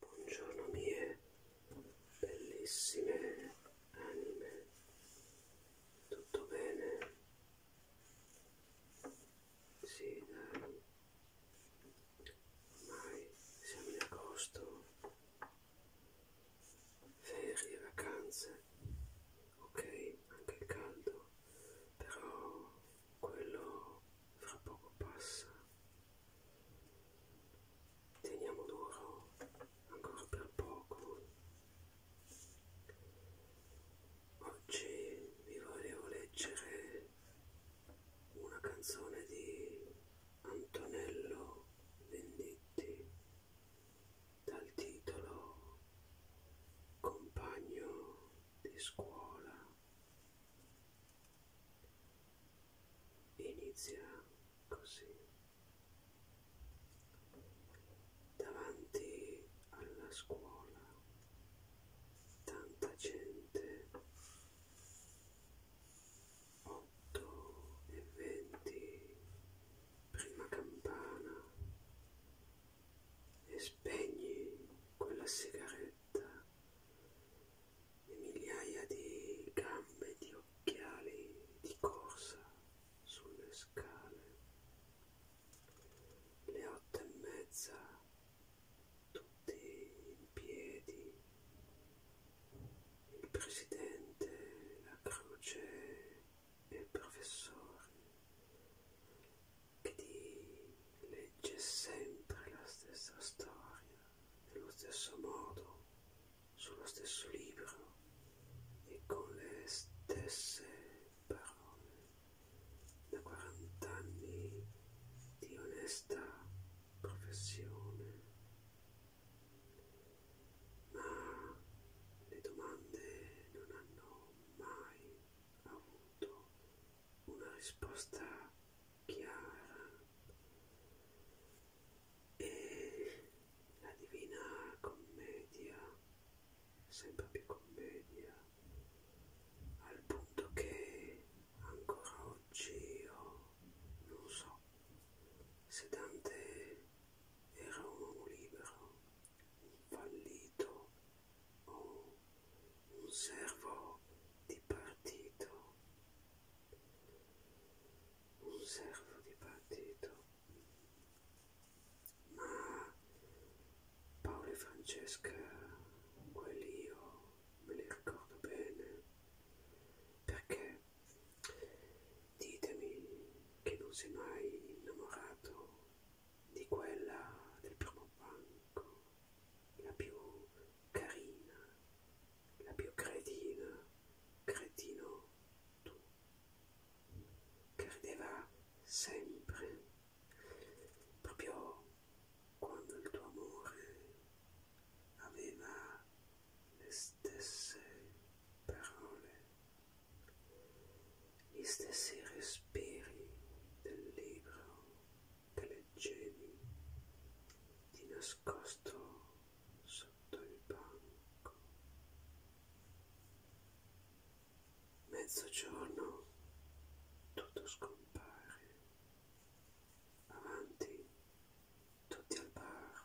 Buongiorno mie bellissime anime, tutto bene? Sì, dai, ormai siamo in agosto, ferie, vacanze, ok, anche il caldo, però quello fra poco passa teniamo duro ancora per poco oggi vi volevo leggere una canzone di Antonello Venditti dal titolo Compagno di scuola inizia così davanti alla scuola tanta gente 8 e 20 prima campana e spegni quella sigaretta e migliaia di gambe di occhiali di corsa sulle scale. Le otto e mezza, tutti in piedi, il presidente, la croce e il professore che ti legge sempre la stessa storia, nello stesso modo, sullo stesso libro e con le stesse parole. Da 40 anni di onesta professione. Ma le domande non hanno mai avuto una risposta chiara e la divina commedia sempre più commedia al punto che ancora oggi io non so se Dante era un uomo libero fallito o un servo di partito un servo di partito ma Paolo e Francesca quelli io me li ricordo bene perché Ditemi che non si è mai innamorato di quella del primo banco, la più carina, la più cretina, cretino tu, credeva sempre, proprio quando il tuo amore aveva le stesse parole, gli stessi respiri del libro che leggevi di nascosto sotto il banco. Mezzogiorno tutto scompare. Avanti, tutti al bar,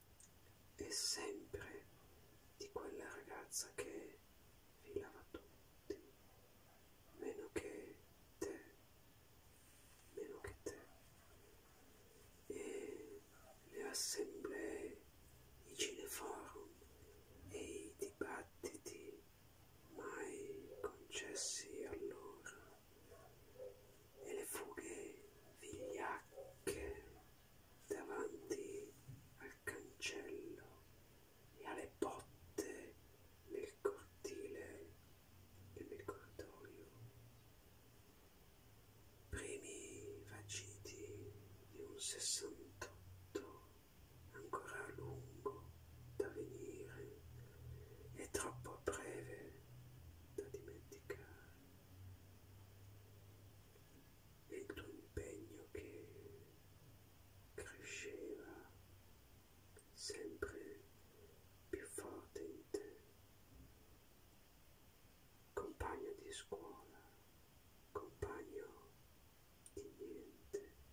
e sempre di quella ragazza che filava tutti, meno che te, meno che te. E le assemblee, i cineforum e i dibattiti mai concessi allora e le fughe vigliacche davanti al cancello e alle botte nel cortile e nel corridoio primi vagiti di un sessantotto ancora lungo da venire e troppo breve da dimenticare e il tuo impegno che cresceva sempre più forte in te compagno di scuola compagno di niente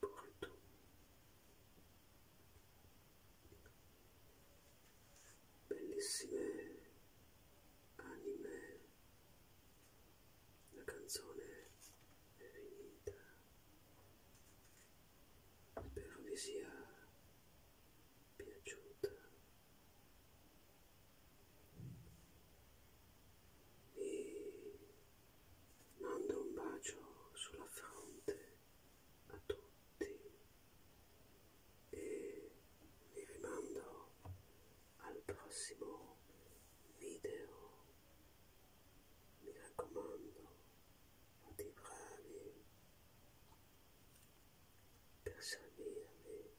corto bellissime anime la canzone è finita spero vi sia piaciuta vi Mando un bacio sulla fronte a tutti e vi rimando al prossimo video. Mi raccomando, fate i bravi per servirvi.